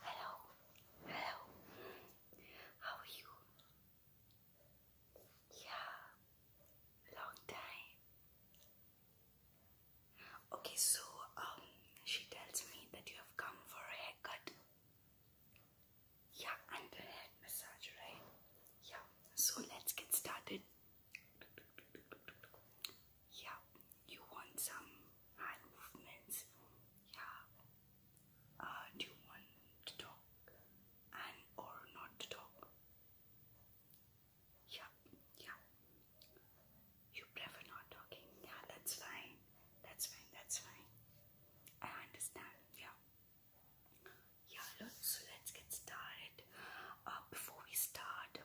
Hello, hello. How are you? Yeah, long time. Okay, so um, she tells me that you have come for a haircut. Yeah, and a head massage, right? Yeah. So let's get started. Yeah, you want some hand movements. Yeah. Uh, do you want to talk and or not to talk? Yeah, yeah. You prefer not talking. Yeah, that's fine. That's fine. That's fine. I understand. Yeah. Yeah. Look, so let's get started. Uh, before we start,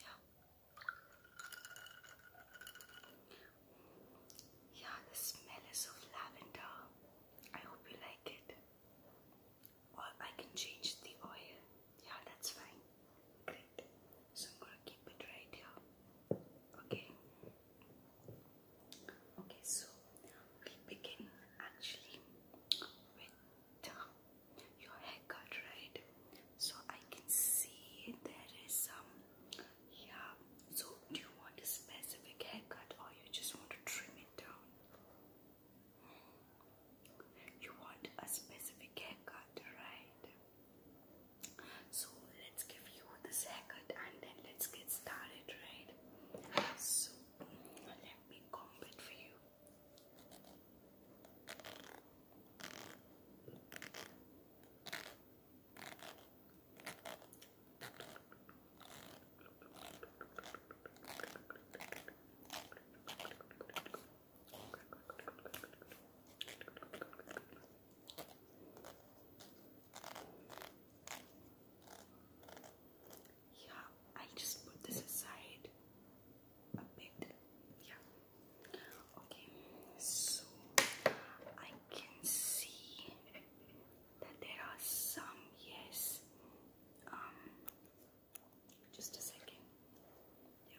Yeah. Yeah, the smell is of lavender. I hope you like it. Or I can change the oil. Yeah, that's fine. Great. So I'm gonna keep it right here. Okay. Okay, so so we begin actually with uh, your haircut, right? So I can see there is some, yeah. So do you want a specific haircut or you just want to trim it down? You want a specific haircut, right? So let's give you this haircut and then let's get started, right? So let me comb it for you. Yeah, i just put this aside a bit. Yeah. Okay, so I can see that there are some, yes. Um just a second. Yeah.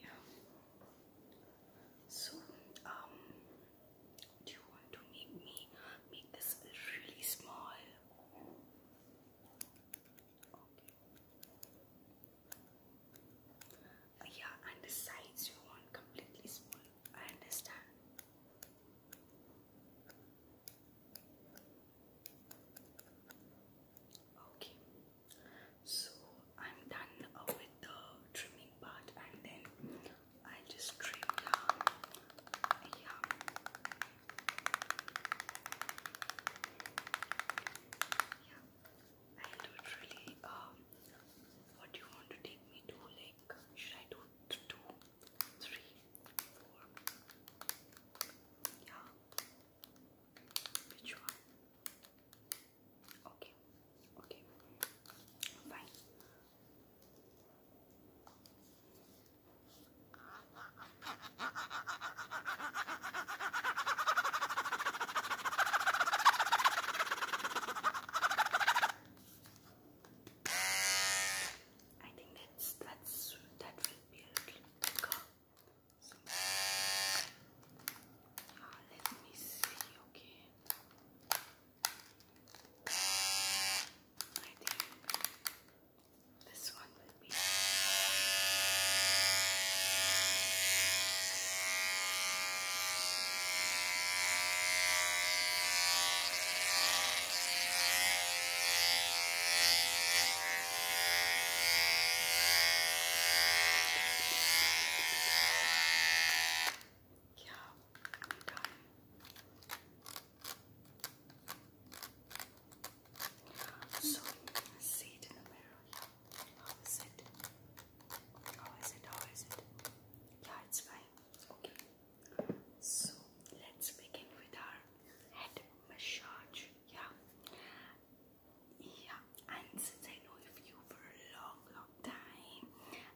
Yeah. So, um, do you want to make me make this really small? yeah, and the sides you want completely small. I understand. Okay. So I'm done with the trimming part, and then I will just trim down. Yeah. I literally um, What do you want to take me to? Like, should I do two, three, four? Yeah. Which one? Okay, okay, fine. I think that's that's that will be a uh, let me see, okay. I think this one will be. Yeah, I'm done. see it in the mirror. How is it? How is it? How is it? Yeah, it's fine. Okay. So, let's begin with our head massage. Yeah. Yeah, and since I know you for a long, long time,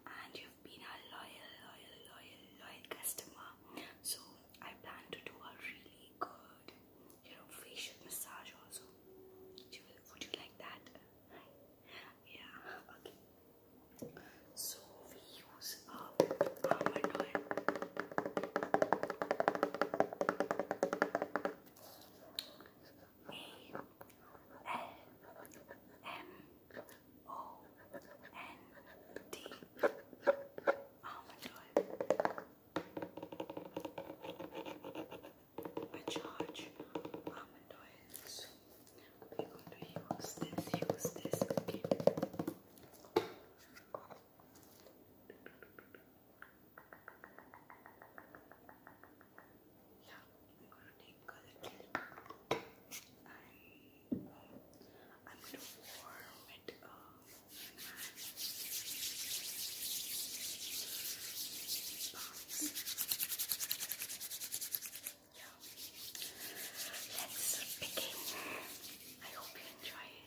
and you've been a loyal, loyal, loyal, loyal customer, so I plan to do a really good, you know, facial massage also. Would you, like that? Yeah, okay. So we use a a L M O N D. Oh my god. charge almond oil. going to use this, use this, yeah, I'm gonna take color and um, I'm gonna warm it up. Yeah. Let's begin. I hope you enjoy it.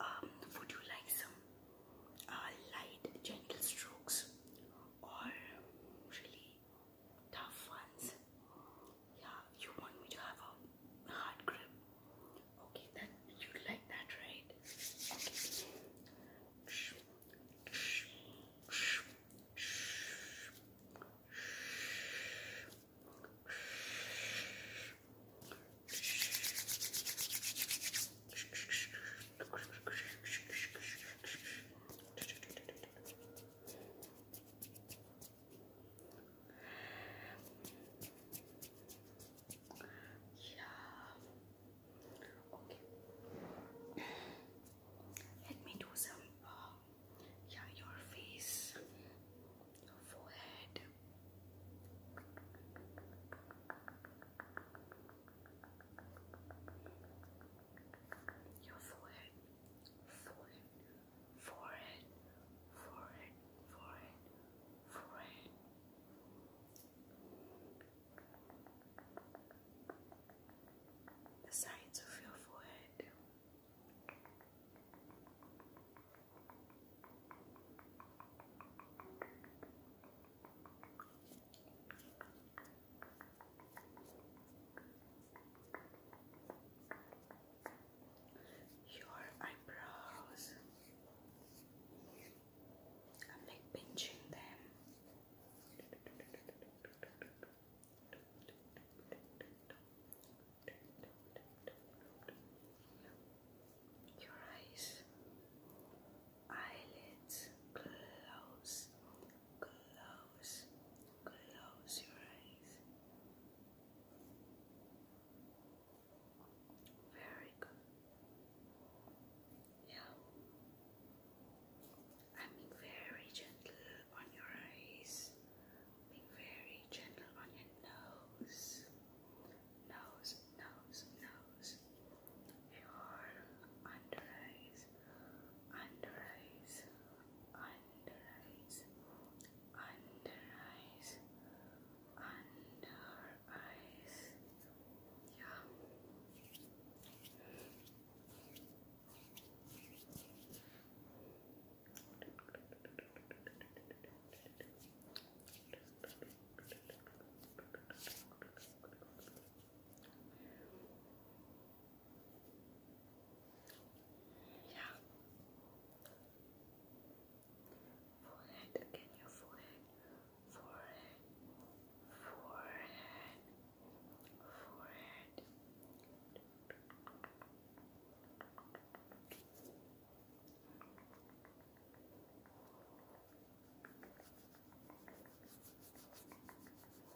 Um, would you like some uh, light, gentle strokes or really tough ones. Yeah, you want me to have a hard grip. Okay, that you like that, right? Yeah. Okay. Let me do some. Uh, your face, your forehead. Your forehead, forehead, forehead, forehead, forehead, forehead. The sides of your forehead your eyebrows. i like pinching them. Your eyes, eyelids, close, close close, your eyes. Very good. Yeah. I mean, very gentle on your eyes. Being very gentle on your nose. Nose, nose, nose. Your under eyes under eyes, under eyes, under eyes, under eyes. Yeah. Under yeah. Forehead again, your forehead, forehead, forehead. Forehead,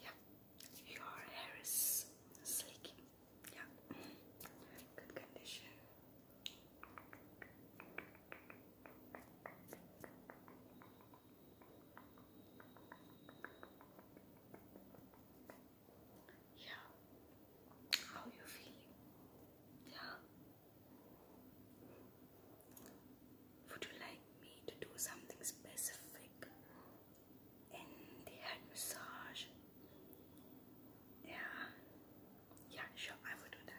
Yeah, your hair is sleek. Yeah, good condition. Yeah, how you feeling? Yeah. Would you like me to do something specific in the head massage? Yeah, yeah, sure, I will do that.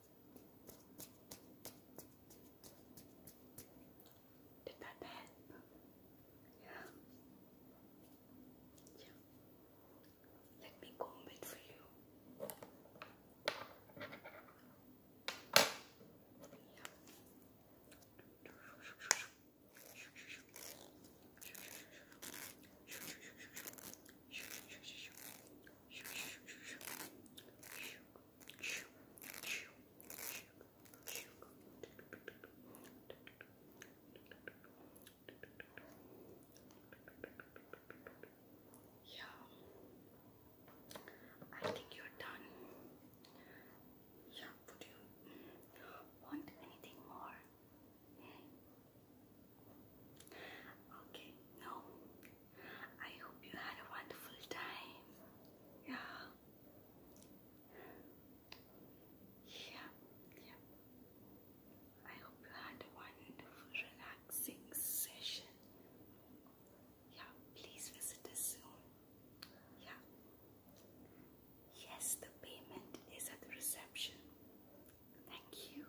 Did that help? Yeah. Let me comb for you. Yeah, I think you're done. Yeah, would you want anything more? Hmm. Okay, no, I hope you had a wonderful time. Yeah. Yeah. Yeah. I hope you had a wonderful, relaxing session. Yeah, please visit us soon. Yeah. Yes, the payment is at the reception. Thank you.